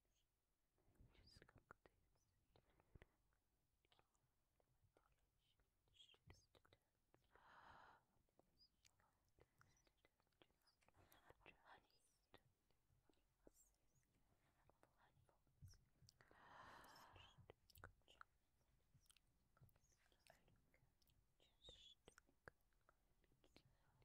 Just cook this. Just cook this. Honey. Just